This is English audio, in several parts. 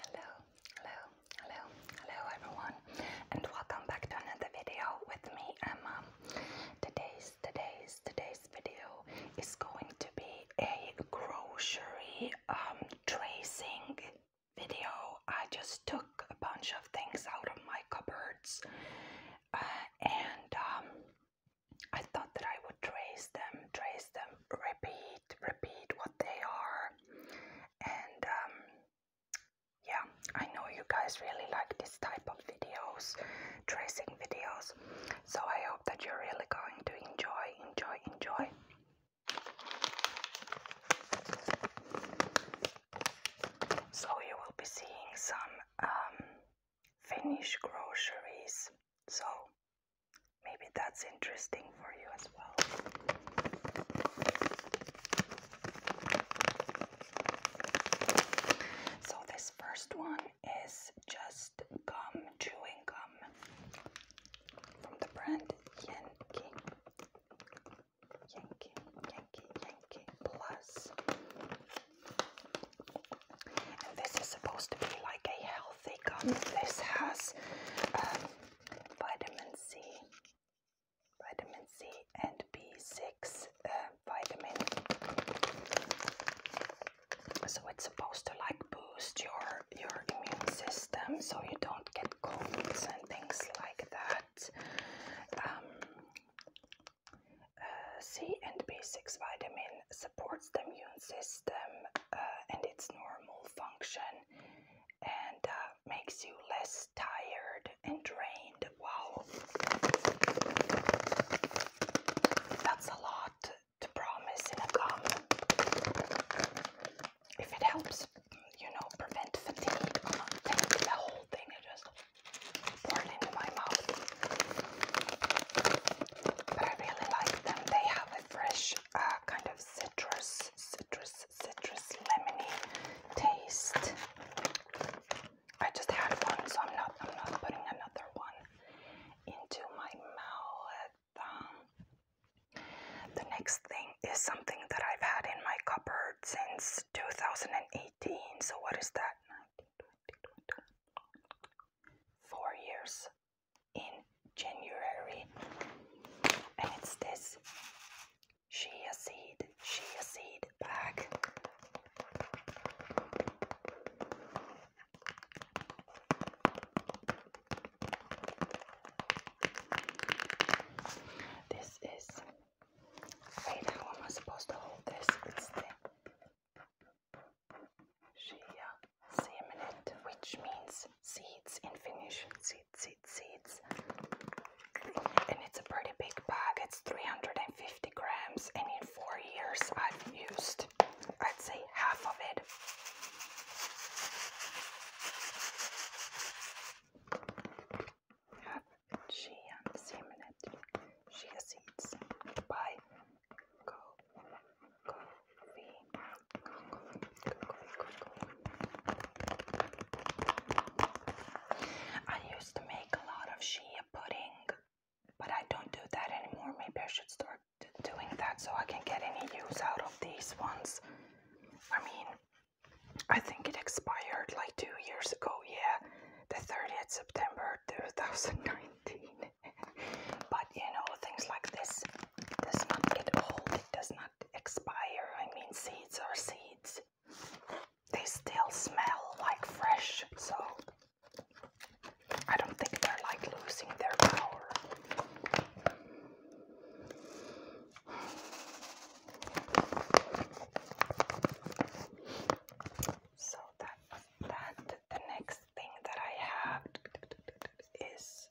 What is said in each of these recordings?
Hello, hello, hello, hello everyone and welcome back to another video with me Emma. Today's, today's, today's video is going to be a grocery um, tracing video. I just took a bunch of things out of my cupboards uh, and um, I thought that I would trace them, trace them, repeat repeat what they are. And um, yeah, I know you guys really like this type of videos, tracing videos. So I hope that you're really going to enjoy, enjoy, enjoy. So you will be seeing some um, Finnish groceries. So Maybe that's interesting for you as well. So, this first one is just gum, chewing gum from the brand Yankee. Yankee, Yankee, Yankee Plus. And this is supposed to be like a health healthy gum. This has um, vitamin C, vitamin C and B6 uh, vitamin. So it's supposed to like boost your your immune system so you don't get colds and things like that. Um, uh, C and B6 vitamin, supports the immune system uh, and its normal function and uh, makes you less tired and drained. Wow, that's a lot to promise in a comment. If it helps, you know, prevent fatigue, I'm not taking the whole thing and just pour into my mouth. But I really like them. They have a fresh uh, kind of citrus, citrus, citrus, lemony taste. I just had one, so I'm not, I'm not putting another one into my mouth. Um, the next thing is something that I've had in my cupboard since 2018. So what is that? four years in January. And it's this chia seed, chia seed bag. This is, wait, how am I supposed to hold this? It's Shea semenet, which means seeds in Finnish. Seeds, seeds, seeds. And it's a pretty big bag. It's 350 grams, and in four years I've used, I'd say, half of it. Shea semenet, shea seeds by I used to make a lot of shea pudding, but I don't do that anymore. Maybe I should start doing that so I can get any use out of these ones. I mean, I think it expired like two years ago, yeah, the 30th September 2019 but you know, things like this does not get old, it does not expire. I mean, seeds are seeds, they still smell like fresh, so I don't think they're like losing their power. So that that the next thing that I have is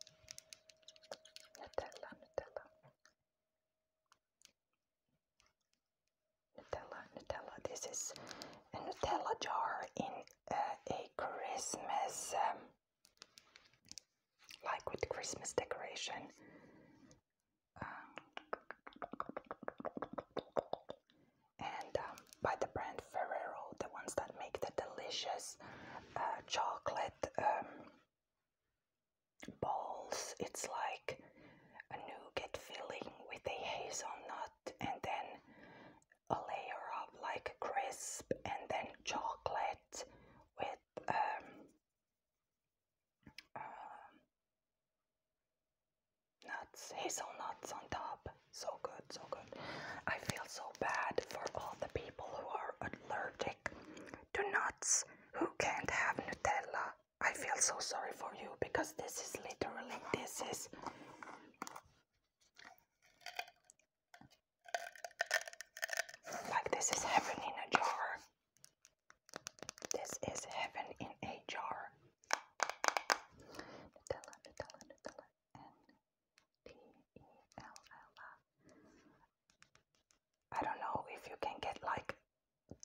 Nutella, Nutella. Nutella, Nutella. This is a Nutella jar in uh, a Christmas, um, like with Christmas decoration. Um, and um, by the brand Ferrero, the ones that make the delicious uh, chocolate um, balls. It's like a nougat filling with a hazelnut and then a layer of like crisp and then chocolate with um, uh, Nuts, hazelnuts on top. So good, so good. I feel so bad for all the people who are allergic to nuts who can't have Nutella. I feel so sorry for you because this is literally this is like this is heaven in a jar. This is heaven in a jar. Nutella, Nutella, Nutella, N-T-E-L-L-A. I don't know if you can get like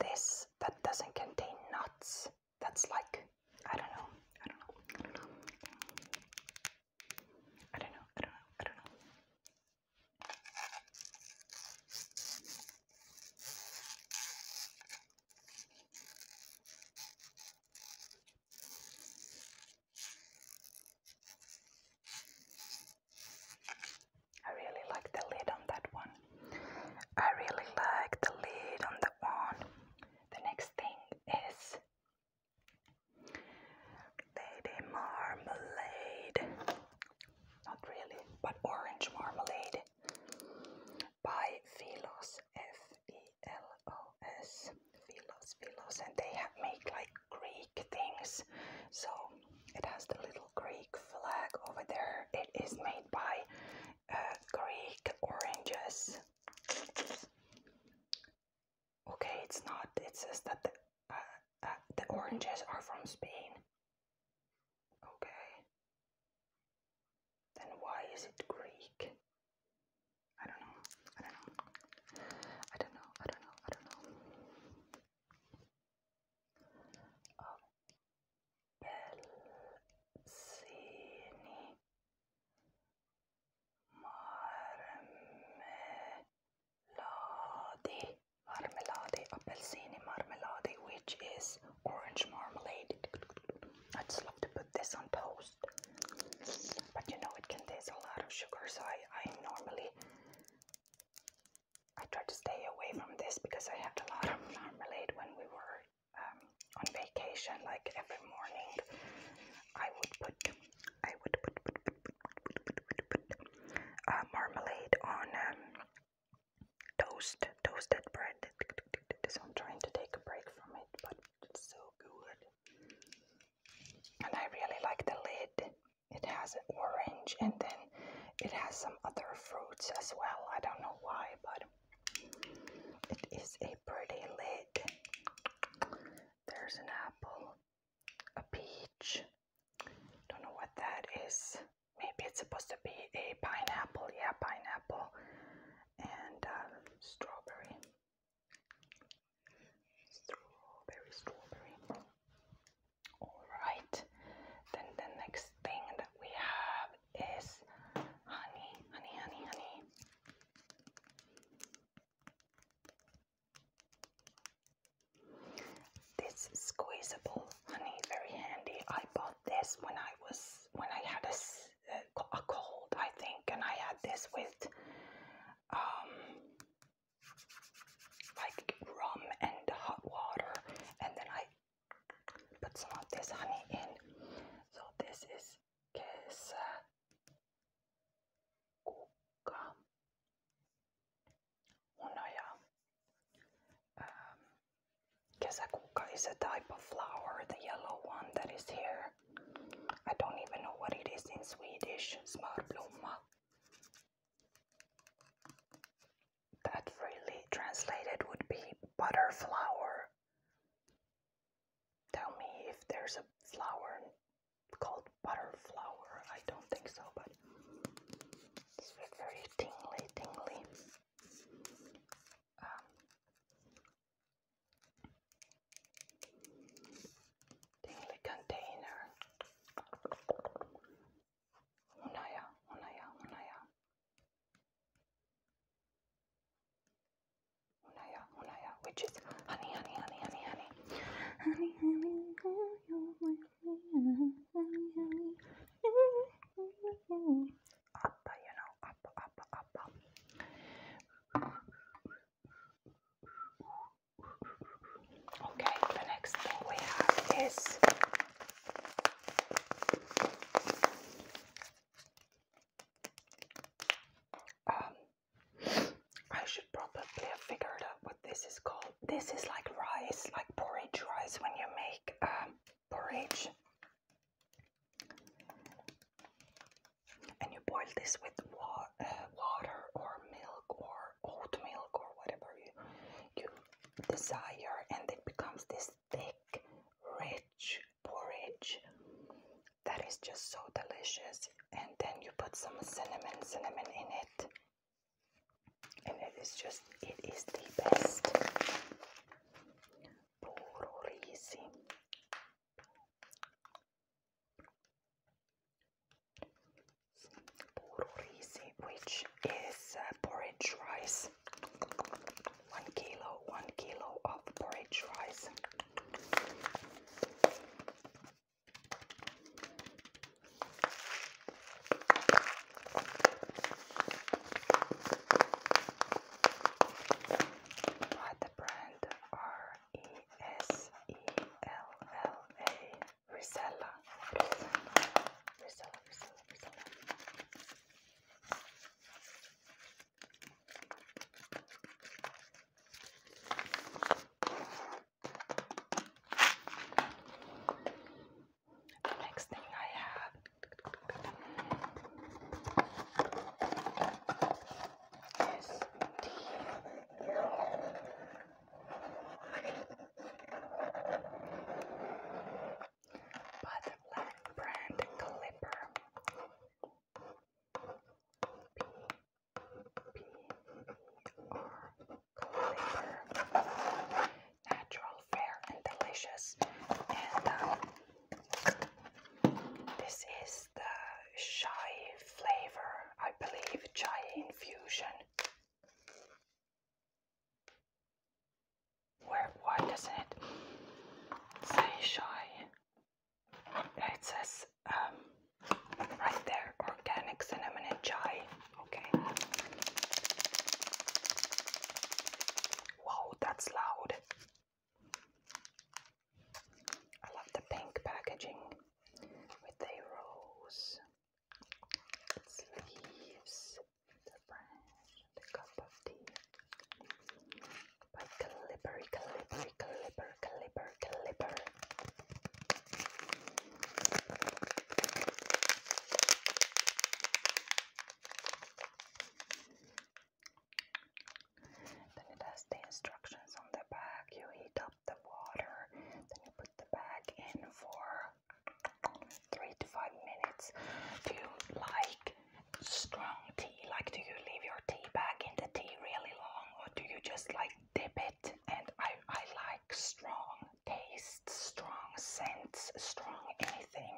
this that doesn't contain nuts. That's like, I don't know, I don't know. I don't know, I don't know, I don't know. I really like the lid on that one. I really like the lid on that one. The next thing is Lady Marmalade. Not really, but orange marmalade by Philos, F-E-L-O-S, Philos, Philos, and they have made like Greek things. So it has the little Greek flag over there. It is made by uh, Greek oranges. Okay, it's not. It says that the uh, uh, oranges are from Spain. Okay, then why is it Greek? I don't know. I don't know. I don't know. I don't know. I don't know. Oh. Pelzini. Marmelade marmalade, appelsini marmalade, which is orange marmalade. I just love to put this on toast. But you know, it contains a lot of sugar, so I, I normally I try to stay away from this because I had a lot of marmalade when we were um, on vacation. Like every morning, I would put I would put, uh, marmalade on um, toast, toasted bread. So I'm trying to take a break from it, but it's so good. And I really like the lid. It has orange and then it has some other fruits as well. I don't know why, but it is a pretty lid. There's an apple, a peach. Don't know what that is maybe it's supposed to be a pineapple, yeah, pineapple and um, strawberry. Strawberry, strawberry. Alright, then the next thing that we have is honey, honey, honey, honey. This squeezable honey, very handy. I bought this when I was when I had a, a cold, I think, and I had this with um, like rum and hot water, and then I put some of this honey in. So this is Kesa Kuka well, um, is a type of flower, the yellow one that is here. I don't even know what it is in Swedish. Smörblomma. That really translated would be butterflower. Tell me if there's a flower called butterflower. I don't think so, but it's very tingly, tingly. Um, tingly container. Unaya, unaya, unaya. Unaya, unaya, which is honey, honey, honey, honey, honey. Honey, honey, up, you know, up, up, up, Okay, the next thing we have is um, I probably have figured out what this is called. This is like rice, like porridge rice when you make um, porridge. And you boil this with uh, water or milk or oat milk or whatever you, you desire, and it becomes this thick, rich porridge that is just so delicious. And then you put some cinnamon, cinnamon in it and it is just it is the best porridge, which is uh, porridge rice one kilo one kilo of porridge rice what the brand R E S E L L A Resella Resella the next thing I have is tea. By the brand Clipper. Natural, fair, and delicious. And um, this is the chai flavor, I believe, chai infusion. Where, why doesn't it say chai? It says um, right there organic cinnamon and chai. Okay. Wow, that's loud. I love the pink packaging with the rose, leaves, the branch, the cup of tea. By Calibri, Calibri, Calibri clipper, clipper. Then it has the instructions on the back. You heat up the water, then you put the bag in for three to five minutes. Do you like strong tea? Like, do you leave your tea bag in the tea really long, or do you just like? Dip it, and I, I like strong taste, strong scents, strong anything.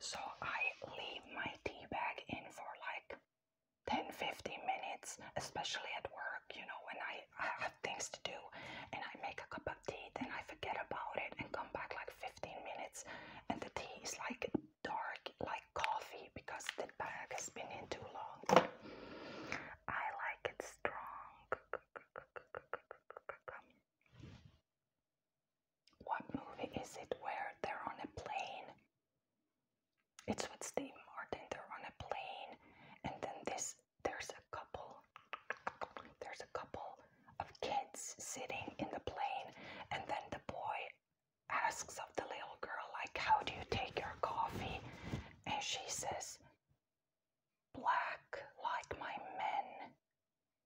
So I leave my tea bag in for like 10 15 minutes, especially at work, you know, when I, I have things to do and I make a cup of tea, and I forget about it and come back like 15 minutes and the tea is like dark like coffee because the bag has been in too long. I like it strong. What movie is it where they're on a plane? It's with Steve Martin. They're on a plane, and then this there's a couple. There's a couple of kids sitting in the plane, and then the boy asks of the little girl, like, how do you take your coffee? And she says, black like my men.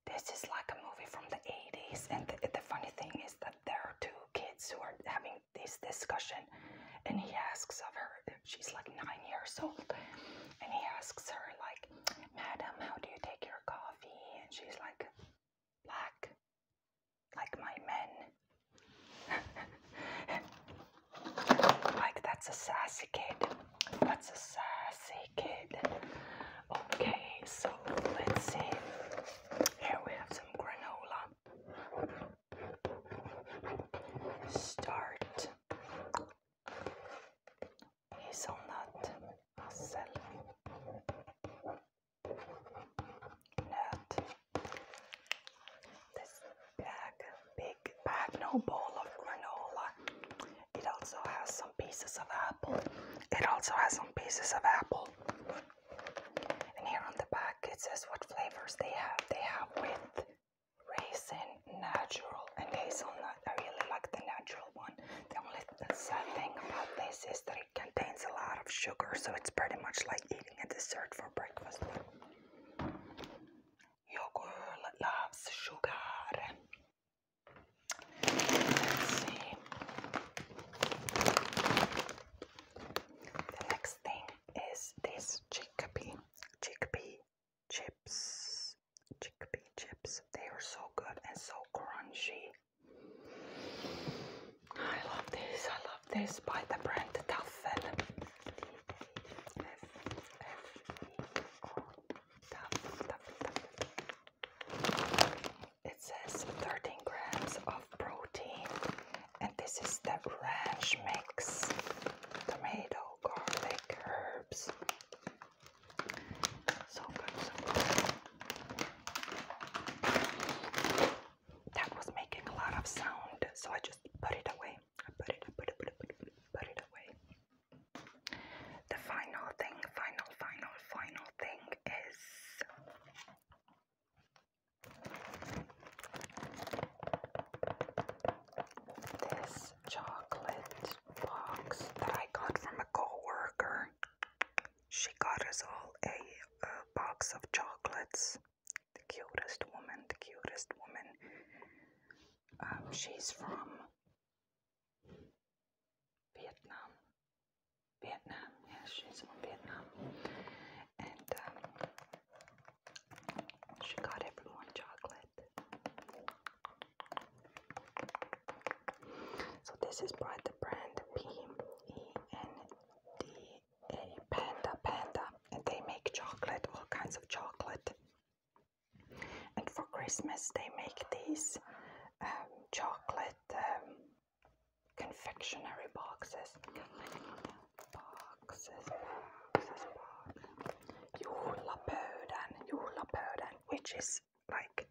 This is like a movie from the 80s. And the, funny thing is that there are two kids who are having this discussion. And he asks of her, she's like nine years old. And he asks her, like, Madam, how do you take your coffee? And she's like, black like my men. like that's a sassy kid. That's a sassy kid. Okay, so let's see. Here we have some granola. Start. Hazelnut, Hazel this bag, big bag, no bowl of granola. It also has some pieces of apple. It also has some pieces of apple. And here on the back it says what flavors they have. They have with raisin, natural, and hazelnut. I really like the natural one. The only the sad thing about this is that it contains a lot of sugar, so it's pretty much like eating a dessert for breakfast. Your girl loves sugar. Let's see. The next thing is this chickpea, chickpea chips, chickpea chips. They are so good and so crunchy. I love this. I love this by the brand Duffel. F F E O It says 13 grams of protein, and this is the ranch mix: tomato, garlic, herbs. So good, so good. That was making a lot of sound, so I just put it away. I put it, I put it, put it, put put it, put it away. The final thing, final, final, final thing is. This chocolate box that I got from a coworker. She got us all a, box of chocolates. The cutest woman, the cutest woman. Um, she's from Vietnam. Vietnam, yes, she's from Vietnam. And um, she got everyone chocolate. So this is by the brand P E N D A Panda Panda, and they make chocolate, all kinds of chocolate. And for Christmas, they make these um, chocolate um, confectionery boxes. Boxes, boxes, boxes. Julapöydän, julapöydän, which is like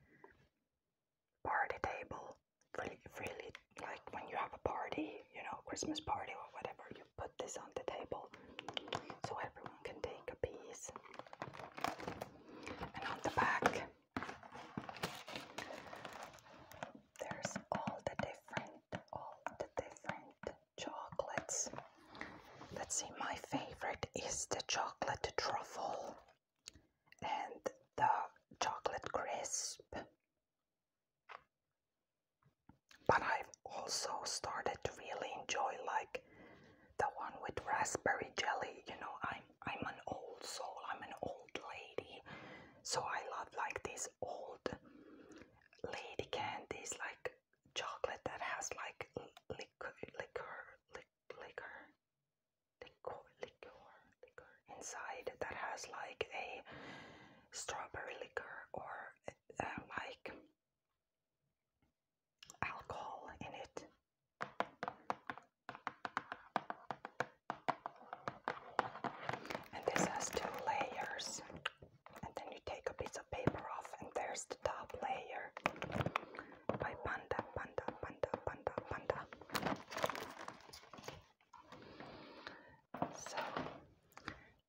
party table really, really like when you have a party you know christmas party or whatever you put this on the table so everyone can take a piece and on the back there's all the different all the different chocolates let's see my favorite is the chocolate truffle and the chocolate crisp. But I've also started to really enjoy like the one with raspberry jelly. You know, I'm I'm an old soul. I'm an old lady, so I love like these old lady candies, like chocolate that has like liquor, liquor, liquor, liquor, liquor, liquor inside that has like a strawberry liquor or uh, like alcohol in it. And this has two layers, and then you take a piece of paper off, and there's top layer by Panda, Panda, Panda, Panda, Panda. So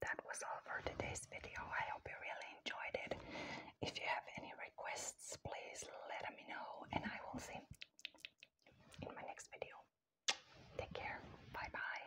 that was all for today's video. I hope you really enjoyed it. If you have any requests, please let me know, and I will see you in my next video. Take care. Bye bye.